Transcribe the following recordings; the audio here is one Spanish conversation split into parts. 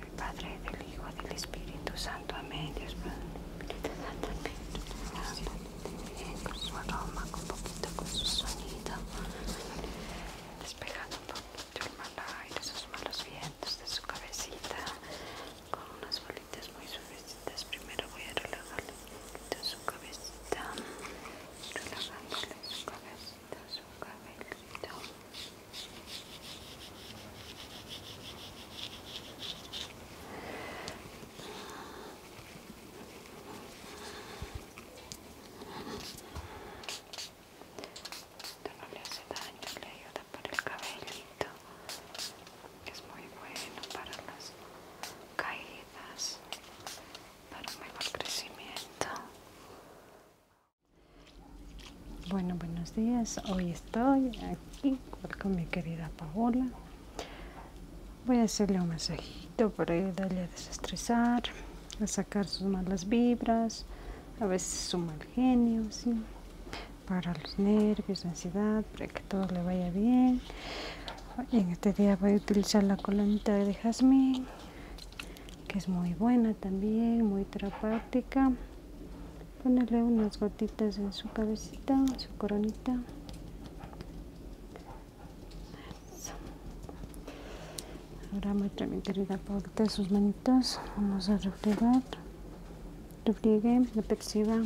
El Padre, del Hijo, del Espíritu Santo. Amén. Dios Amén. con su aroma, con poquito, con su sonido. Despejando un poquito el mal aire, esos malos vientos de su cabecita. Con unas bolitas muy suavecitas. Primero voy a relajarle su cabecita. Relajándole su cabecita, su cabecita. Esto no le hace daño, le ayuda para el cabellito. que Es muy bueno para las caídas, para un mejor crecimiento. Bueno, buenos días. Hoy estoy aquí con mi querida Paola. Voy a hacerle un masajito para ayudarle a desestresar, a sacar sus malas vibras, a veces su mal genio, para los nervios, ansiedad, para que todo le vaya bien. hoy en este día voy a utilizar la colonita de jazmín que es muy buena también, muy terapéutica. Ponerle unas gotitas en su cabecita, en su coronita. Ahora muestra mi querida de sus manitas. Vamos a reflejar Refriegue la perciba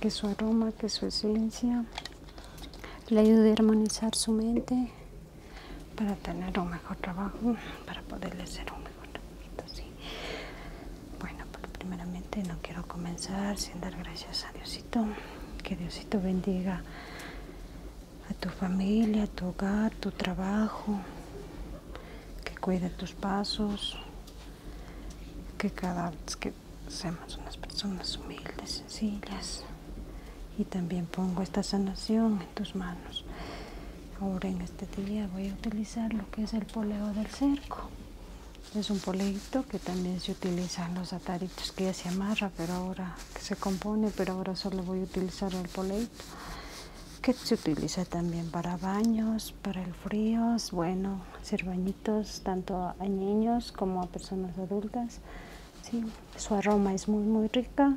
que su aroma, que su esencia le ayude a armonizar su mente, para tener un mejor trabajo, para poderle hacer un mejor trabajo. ¿sí? Bueno, pero pues primeramente no quiero comenzar sin dar gracias a Diosito. Que Diosito bendiga a tu familia, a tu hogar, tu trabajo, que cuide tus pasos, que cada vez que seamos unas personas humildes, sencillas. Y también pongo esta sanación tus manos. Ahora en este día voy a utilizar lo que es el poleo del cerco. Es un poleito que también se utiliza en los ataritos que ya se amarra, pero ahora que se compone, pero ahora solo voy a utilizar el poleito que se utiliza también para baños, para el frío, bueno, hacer bañitos tanto a niños como a personas adultas. Su aroma es muy muy rica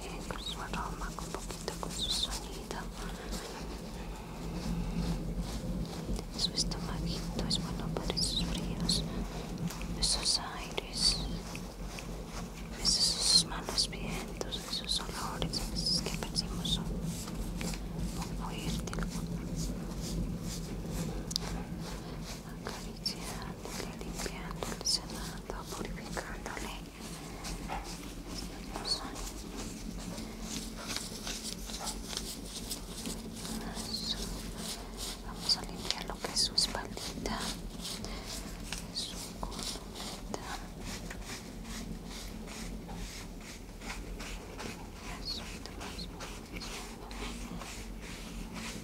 bien con su aroma, con poquito con su sonido. Su estomaguito es bueno para esos fríos, esos aires, esos, manos malos vientos, esos olores esos que percibimos son fuertes acariciándole, limpiándole, sanando, purificándole esta persona Eso. vamos a limpiar lo que es su espaldita su columnita Eso, más, más, más, más.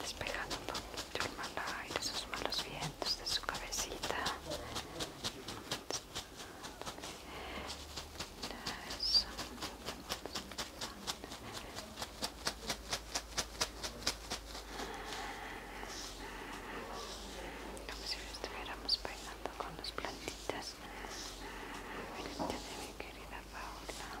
despejando un poquito el mal aire, esos malos vientos de su cabecita. Como si estuviéramos bailando con las plantitas. de mi querida Paula.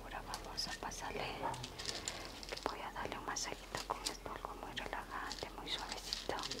Ahora vamos a pasarle, voy a darle un masajito con esto, polvo muy relajante, muy suavecito.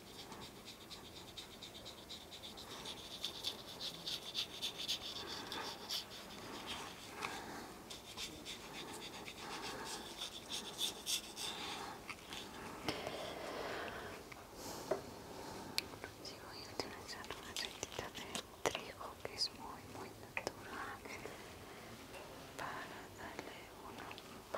Sigo voy a utilizar una aceitita de trigo que es muy muy natural para darle un una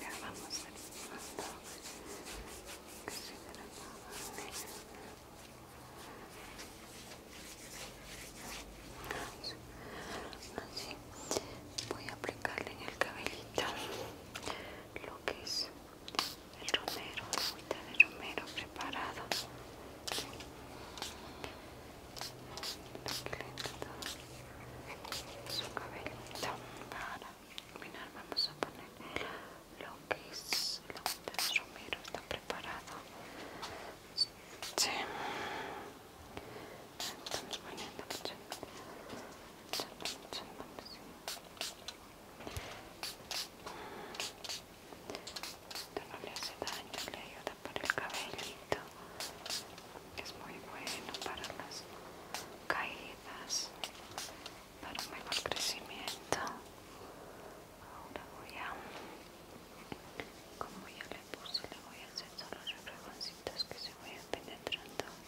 Ya vamos terminando. Casi Así voy a aplicarle en el cabellito lo que es el romero, agüita de romero preparado. Sí. Su cabellita. para terminar vamos a poner lo que es la agüita de romero, está preparado. Sí. Estamos poniendo mucho, mucho, mucho, mucho, mucho. Esto no le hace daño, le ayuda para el cabellito es muy bueno para las caídas para un mejor crecimiento ahora voy a como ya le puse le voy a hacer solo los fregoncitos que se vayan penetrando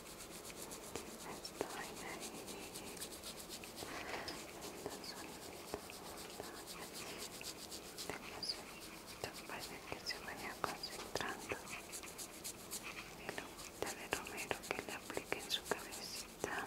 Estoy ahí. Tan tengo tan parece que se vaya concentrando. Pero la de romero que le aplique en su cabecita.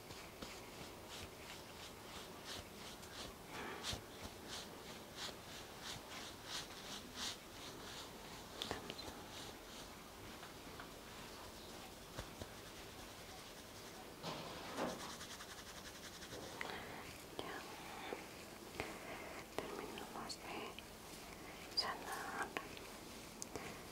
Ya terminamos de sanar